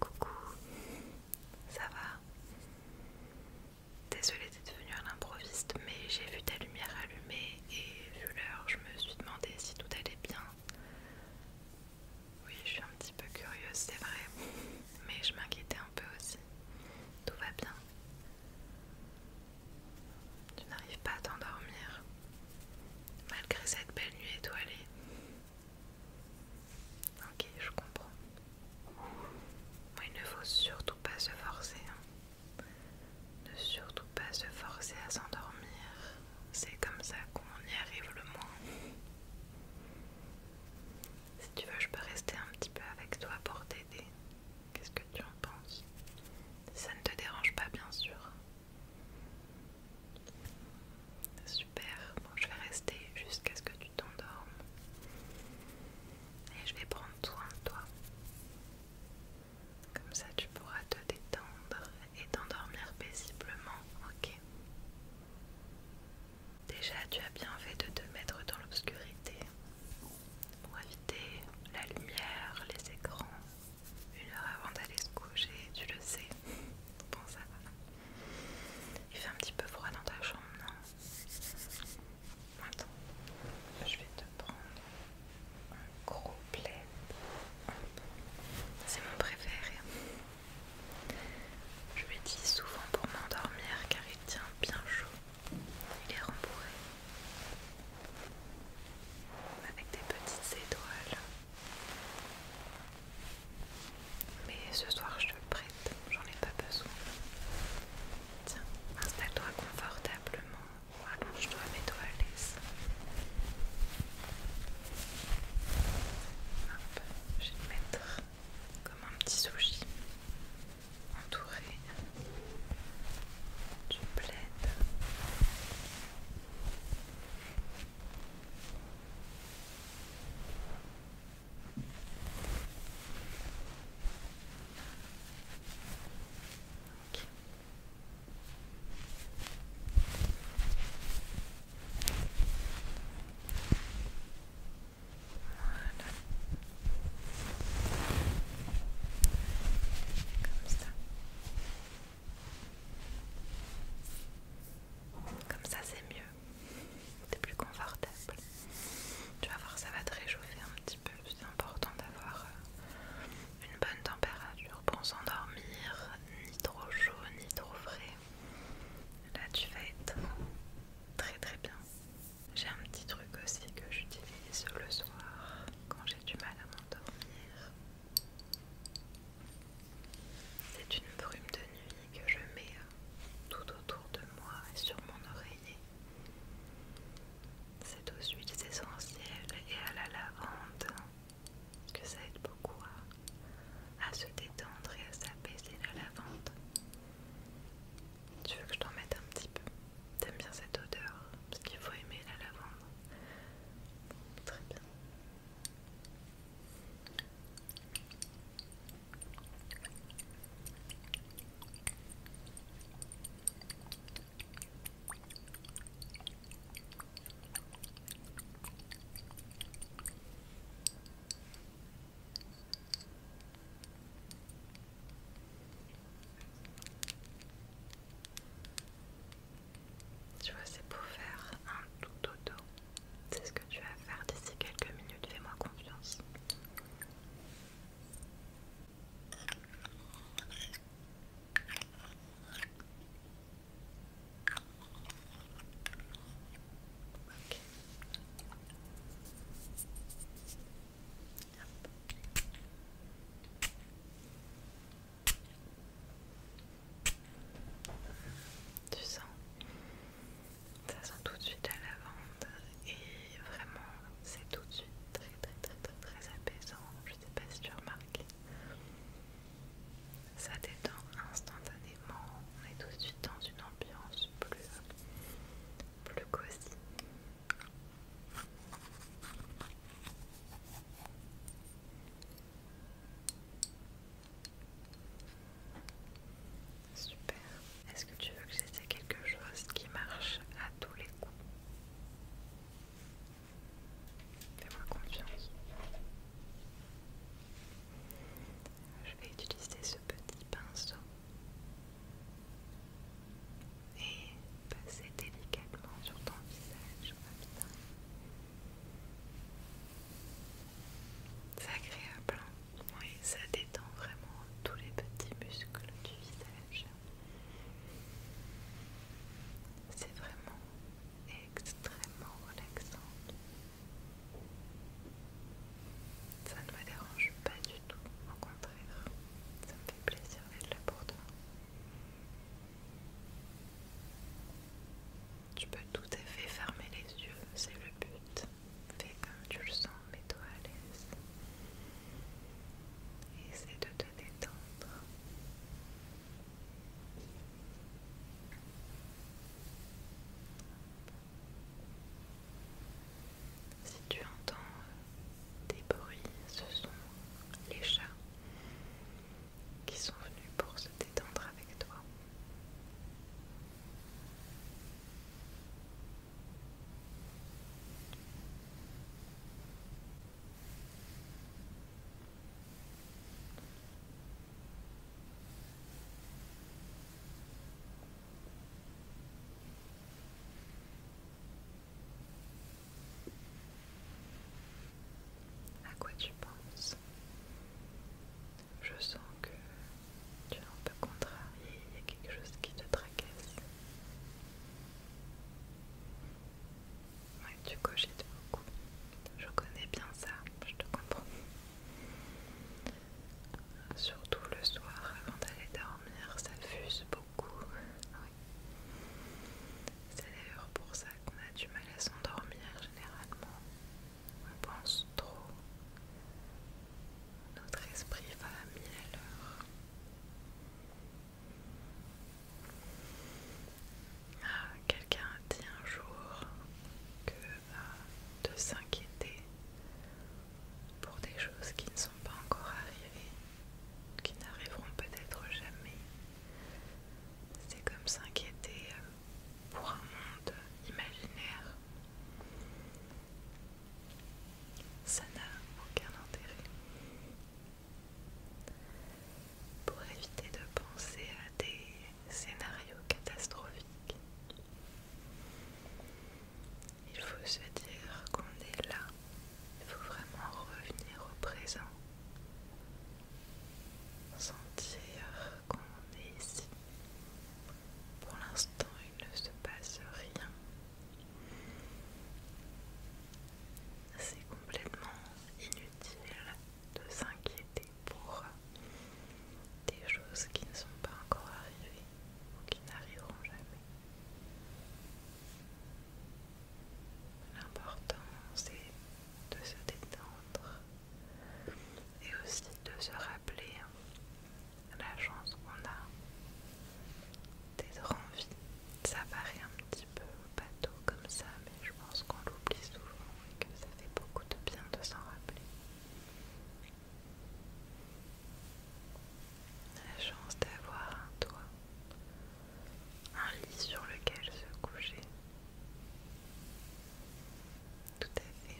Coucou, ça va Désolée d'être venue à l'improviste, mais j'ai vu ta lumière allumée et vu l'heure, je me suis demandé si tout allait bien. Oui, je suis un petit peu curieuse, c'est vrai, mais je m'inquiétais un peu aussi. Tout va bien tu n'arrives pas à t'endormir malgré cette belle nuit étoilée. Ok, je comprends. il ne faut surtout pas se forcer. Hein. Ne surtout pas se forcer à s'endormir. C'est comme ça qu'on y arrive le moins. Si tu veux, je peux rester un petit peu avec toi pour t'aider. Qu'est-ce que tu en penses Ça ne te dérange pas, bien sûr. Super, bon, je vais rester jusqu'à ce que tu t'endormes. Et je vais prendre soin de toi. Comme ça, tu pourras te détendre et t'endormir paisiblement, ok Déjà, tu as bien fait de te mettre dans l'obscurité pour éviter la lumière, les écrans. Une heure avant d'aller se coucher, tu le sais. Bon, ça Il fait un petit peu froid dans ta chambre, non Attends, je vais te prendre un gros plaid. C'est mon préféré. Je l'utilise souvent pour m'endormir car il tient bien chaud. Il est rembourré avec des petites étoiles. Mais ce soir je te le prête, j'en ai pas besoin. Tiens, installe-toi confortablement, allonge-toi, mes toi à Hop, je vais le mettre comme un petit sushi entouré du plaide Voilà. Comme ça. c'est mieux. C'est plus confortable. Tu vas voir, ça va te réchauffer un petit peu. C'est important d'avoir euh, une bonne température pour s'endormir. Ni trop chaud, ni trop frais. Là tu vas être très très bien. J'ai un petit truc aussi que j'utilise le soir quand j'ai du mal à m'endormir. C'est une brume de nuit que je mets euh, tout autour de moi et sur mon oreiller. C'est aux huiles essentielles et à la lavande hein, que ça aide beaucoup à, se détendre et à s'apaiser la lavande. Tu veux que je t'en mette un petit peu T'aimes bien cette odeur Parce qu'il faut aimer la lavande. très bien. Tu vois, c'est pour faire un tout dodo. C'est ce que tu vas faire d'ici quelques minutes, fais-moi confiance. Tu sens, ça sent tout de suite la lavande et vraiment c'est tout de suite très très très très apaisant. Je sais pas si tu remarques, ça détend instantanément. On est tout de suite dans une ambiance plus, plus cosy. Super. Est-ce que tu veux que j'essaie quelque chose qui marche à tous les coups Fais-moi confiance. Je vais utiliser ce petit pinceau et passer délicatement sur ton visage ça. C'est agréable, oui, ça détend vraiment tous les petits muscles du visage. C'est vraiment extrêmement relaxant. Ça ne me dérange pas du tout, au contraire, plaisir d'être là pour toi. Tu peux tout à fait fermer les yeux, c'est le but. Fais comme tu le sens, mets-toi à l'aise. Essaie de te détendre. Si tu entends euh, des bruits, ce sont les chats qui sont venus pour se détendre avec toi. À quoi tu penses Je sens que tu es un peu contrarié, il y a quelque chose qui te tracasse. Ouais, tu cogites beaucoup. Je connais bien ça, je te comprends. Surtout le soir avant d'aller dormir, ça fuse beaucoup. Ah C'est d'ailleurs pour ça qu'on a du mal à s'endormir généralement. On pense trop. Notre esprit va à mille Ah, Quelqu'un a dit un jour que bah, de s'inquiéter pour des choses qui ne sont pas encore arrivées, qui n'arriveront peut-être jamais. C'est comme s'inquiéter euh, pour un monde imaginaire. Ça n'a aucun intérêt. Pour éviter de penser à des scénarios catastrophiques, il faut se dire qu'on est là. Il faut vraiment revenir au présent. Sentir qu'on est ici. Pour l'instant, il ne se passe rien. C'est complètement inutile de s'inquiéter pour des choses qui ne sont pas encore arrivées ou qui n'arriveront jamais. L'important, c'est de se détendre et aussi de se rappeler hein, la chance qu'on a d'être en vie. Ça paraît un petit peu bateau comme ça, mais je pense qu'on l'oublie souvent et que ça fait beaucoup de bien de s'en rappeler la chance d'avoir un toit, un lit sur lequel se coucher. Tout à fait.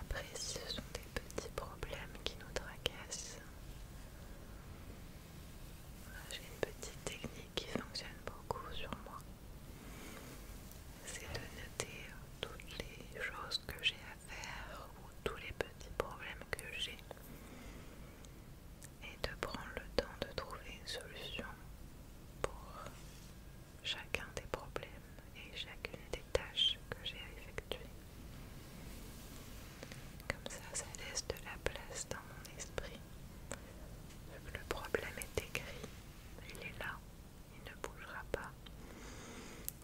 Après, si ce sont des petits problèmes qui nous tracassent, j'ai une petite technique qui fonctionne beaucoup sur moi. C'est de noter toutes les choses que j'ai ou tous les petits problèmes que j'ai et de prendre le temps de trouver une solution pour chacun des problèmes et chacune des tâches que j'ai à effectuer. Comme ça, ça laisse de la place dans mon esprit. le problème est écrit, il est là, il ne bougera pas.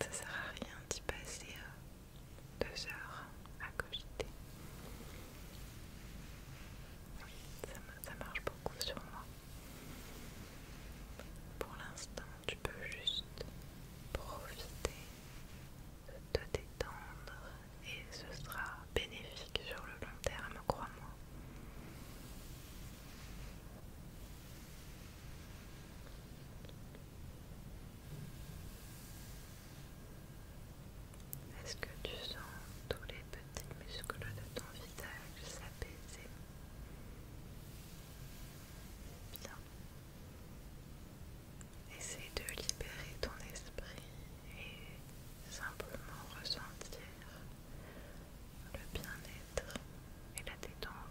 Ça sert à rien d'y passer euh, deux heures à cogiter. ça, ça marche beaucoup sur moi. Pour l'instant, tu peux juste profiter de te détendre et ce sera bénéfique sur le long terme, crois-moi. Est-ce que tu sens tous les petits muscles de ton visage s'apaiser Bien. Essaye de libérer ton esprit et simplement ressentir le bien-être et la détente.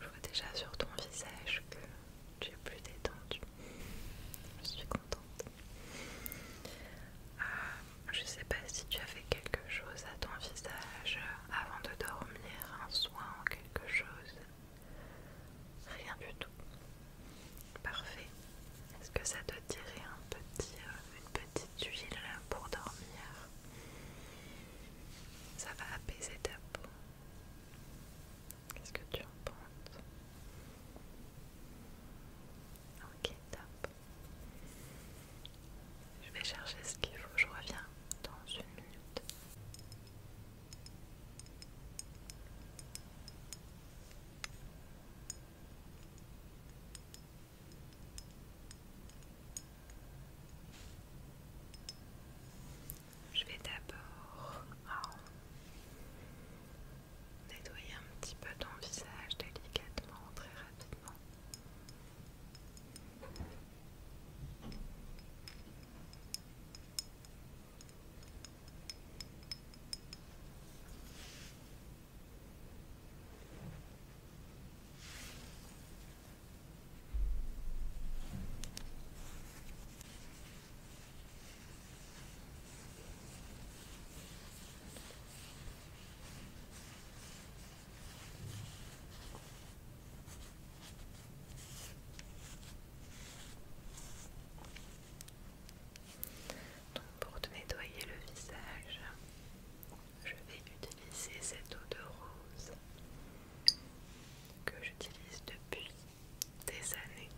Je vois déjà sur ton visage que tu es plus détendue. Je suis contente. Je euh, je sais pas si tu as fait quelque chose à ton visage avant de dormir, un soin ou quelque chose. Rien du tout. Parfait. Est-ce que ça te dirait un petit, euh, une petite huile pour dormir Ça va apaiser ta peau. Qu'est-ce que tu en penses Ok, top. Je vais chercher ce qu'il faut, je reviens dans une minute. Je vais d'abord oh, nettoyer un petit peu ton visage délicatement, très rapidement pour te nettoyer le visage, je vais utiliser cette eau de rose que j'utilise depuis des années,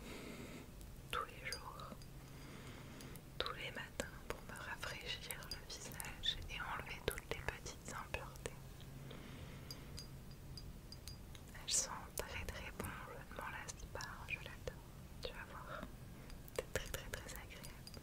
tous les jours, tous les matins pour me rafraîchir le visage et enlever toutes les petites impuretés. Elles sont très très bonnes, je ne m'en lasse pas, je l'adore, tu vas voir, c'est très très très agréable.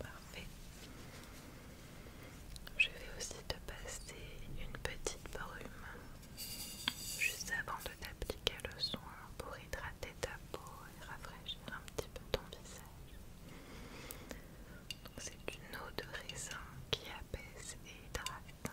Parfait. Je vais aussi te passer une petite brume juste avant de t'appliquer le soin pour hydrater ta peau et rafraîchir un petit peu ton visage. C'est une eau de raisin qui apaise et hydrate.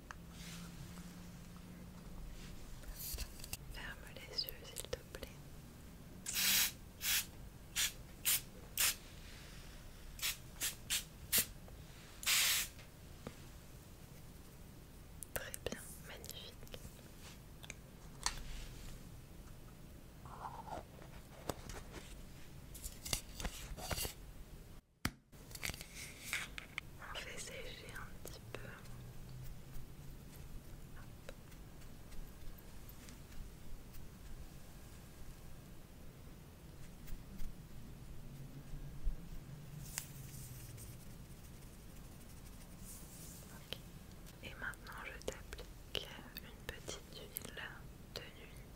Ferme les yeux, s'il te plaît. Très bien, magnifique. On fait sécher un petit peu. Et maintenant je t'applique une petite huile de nuit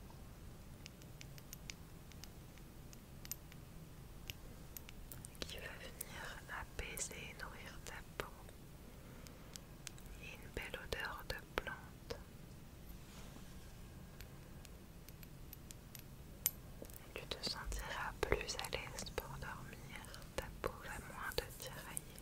qui va venir apaiser et nourrir ta peau. Et une belle odeur de plante. tu te sentiras plus à l'aise pour dormir, ta peau va moins te tirailler.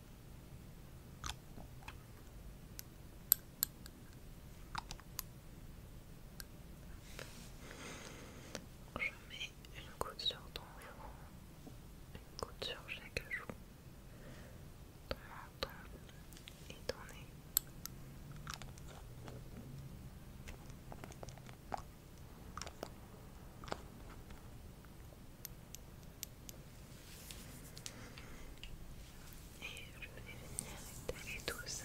Je mets une goutte sur ton front, une goutte sur chaque joue, ton menton et ton nez. Et je vais venir étaler tout ça.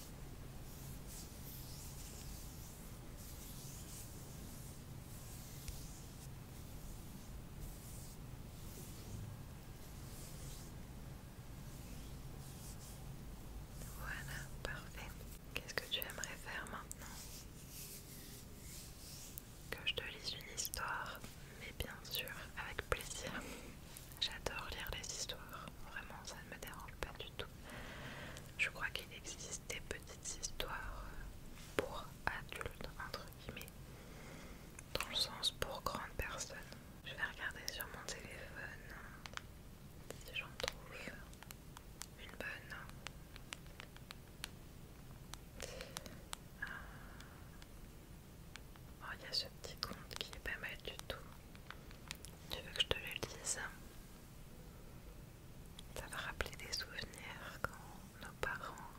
Voilà, parfait. Qu'est-ce que tu aimerais faire maintenant Que je te lise une histoire, mais bien sûr, avec plaisir. J'adore lire les histoires, vraiment ça ne me dérange pas du tout. Je crois qu'il existe des petites histoires pour adultes, entre guillemets, dans le sens pour grandes personnes. Je vais regarder sur mon téléphone si j'en trouve une bonne. Ah. Oh, il y a ce petit compte qui est pas mal du tout. Tu veux que je te le dise Ça va rappeler des souvenirs quand nos parents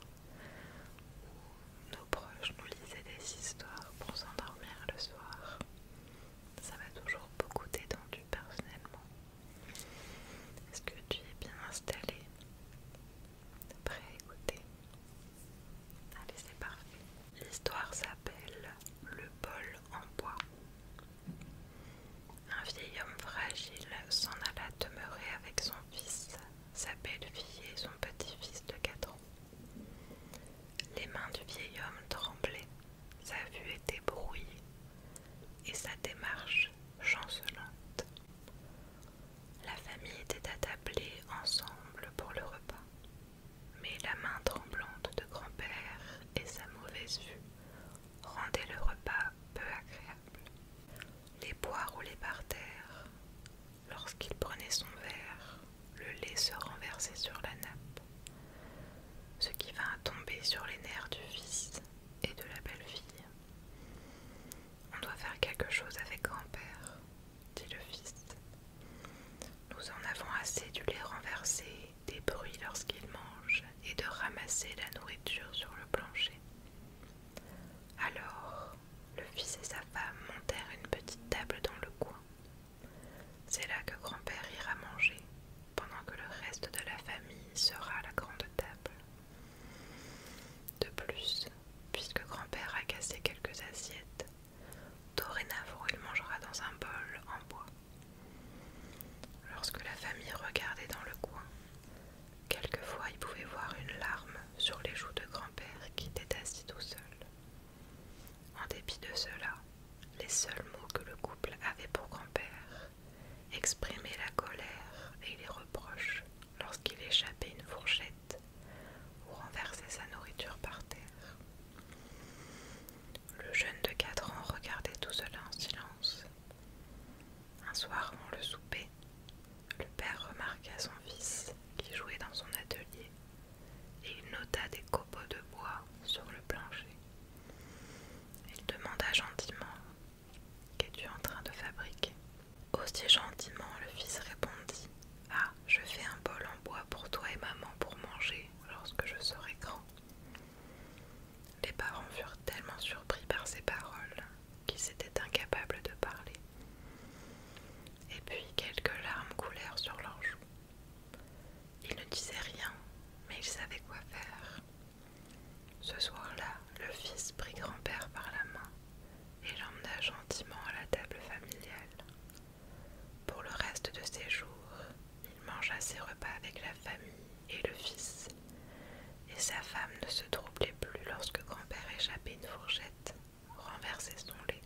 ou nos proches nous lisaient des histoires pour s'endormir le soir. Ça m'a toujours beaucoup détendu personnellement. Est-ce que tu es bien installé Prêt à écouter Allez, c'est parfait. L'histoire s'appelle le bol en bois. Un vieil homme fragile s'en alla demeurer avec son fils, sa belle-fille et son petit-fils de quatre ans. Les mains du vieil homme tremblaient, sa vue était brouillée et sa démarche chancelante. La famille était attablée ensemble pour le repas. Mais la main tremblante de grand-père et sa mauvaise vue rendaient le repas peu agréable. Les bois roulaient par terre. Lorsqu'il prenait son verre, le lait se renversait sur la nappe, ce qui vint tomber sur les nerfs du fils et de la belle-fille. On doit faire quelque chose avec grand-père, dit le fils. Nous en avons assez du lait renversé des bruits lorsqu'il mangent et de ramasser la nourriture sur le plancher. Alors, le fils et sa femme montèrent une petite table dans le coin. C'est là que grand-père ira manger, pendant que le reste de la famille sera à la grande table. De plus, puisque grand-père a cassé quelques assiettes, Dorénavant, il mangera dans un bol en bois. Lorsque la famille regardait dans le coin, quelquefois il pouvait voir une larme sur les joues de grand-père qui était assis tout seul. En dépit de cela, les seuls mots que le couple avait pour grand-père exprimaient la colère et les reproches lorsqu'il échappait une fourchette ou renversait sa nourriture par terre. Le jeune de quatre ans regardait tout cela en silence. Un soir avant le souper, le père remarqua son fils qui jouait dans son atelier et il nota des copeaux de bois sur le plancher. Il demanda gentiment Qu'es-tu en train de fabriquer Aussi gentiment le fils répondit ah, je fais un bol en bois pour toi et maman pour manger lorsque je serai grand. Les parents furent tellement surpris par ces paroles qu'ils étaient incapables de parler. Et puis quelques larmes coulèrent sur leurs joues. Ils ne disaient rien, mais ils savaient quoi faire. Ce soir-là, le fils prit grand-père par la main et l'emmena gentiment à la table familiale. Pour le reste de ses jours, il mangea ses repas avec la famille et le fils, et sa femme ne se troublait plus lorsque grand-père échappait une fourchette, renversait son lait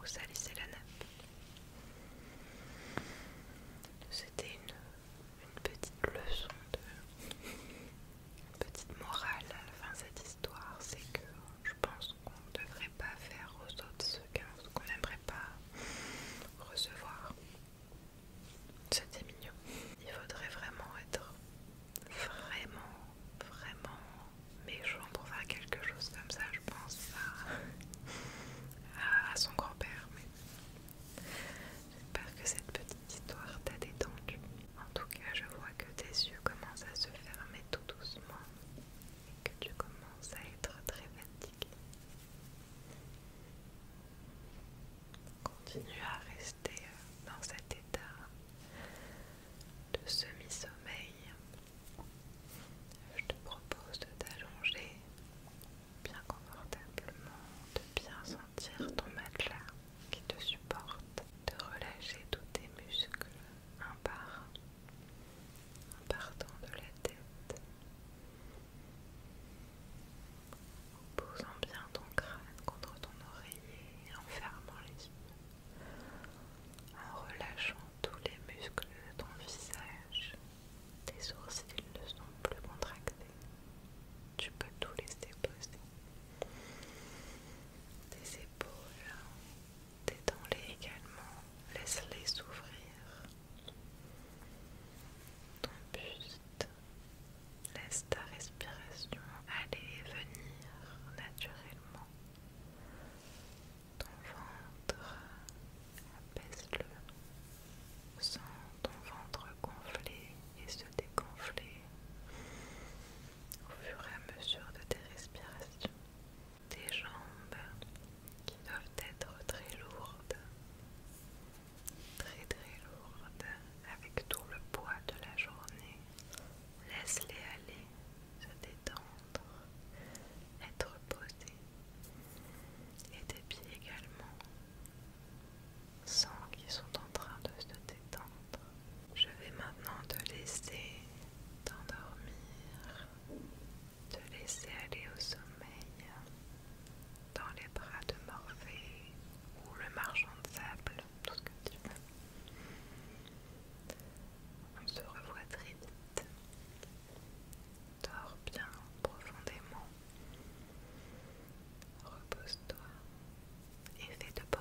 ou salissait la nappe. C'était une, petite leçon de... Une petite morale à la fin de cette histoire, c'est que je pense qu'on ne devrait pas faire aux autres ce qu'on n'aimerait pas recevoir. C'était mignon. Il faudrait vraiment être vraiment, vraiment méchant pour faire quelque chose comme ça. Je pense à, son grand-père. j'espère que cette petite histoire t'a détendu. En tout cas, je vois que tes yeux commencent à se fermer tout doucement que tu commences à être très fatigué. Continue à rester euh, dans cet état de semi-sommeil. Je te propose de t'allonger bien confortablement, de bien sentir ton matelas qui te supporte, de relâcher tous tes muscles, un par un, en partant de la tête, en posant bien ton crâne contre ton oreiller en fermant les yeux, en relâchant tous les muscles de ton visage. Tes sourcils ne sont plus contractés. Tu peux tout laisser poser. Tes épaules, Détends-les également, laisse-les s'ouvrir. Ton buste, laisse ta respiration aller et venir naturellement. Ton ventre, apaisse-le. Sens ton ventre gonfler et se dégonfler au fur et à mesure de tes respirations tes jambes qui doivent être très lourdes, très très lourdes, avec tout le poids de la journée. Laisse-les aller, se détendre, être posé Et tes pieds également. Sans qu'ils sont en train de se détendre. Je vais maintenant te laisser t'endormir te laisser aller au sommeil dans les bras de Morphée ou le marchand de sable, tout ce que tu veux. On se revoit très vite. Dors bien profondément. Repose-toi et fais de beaux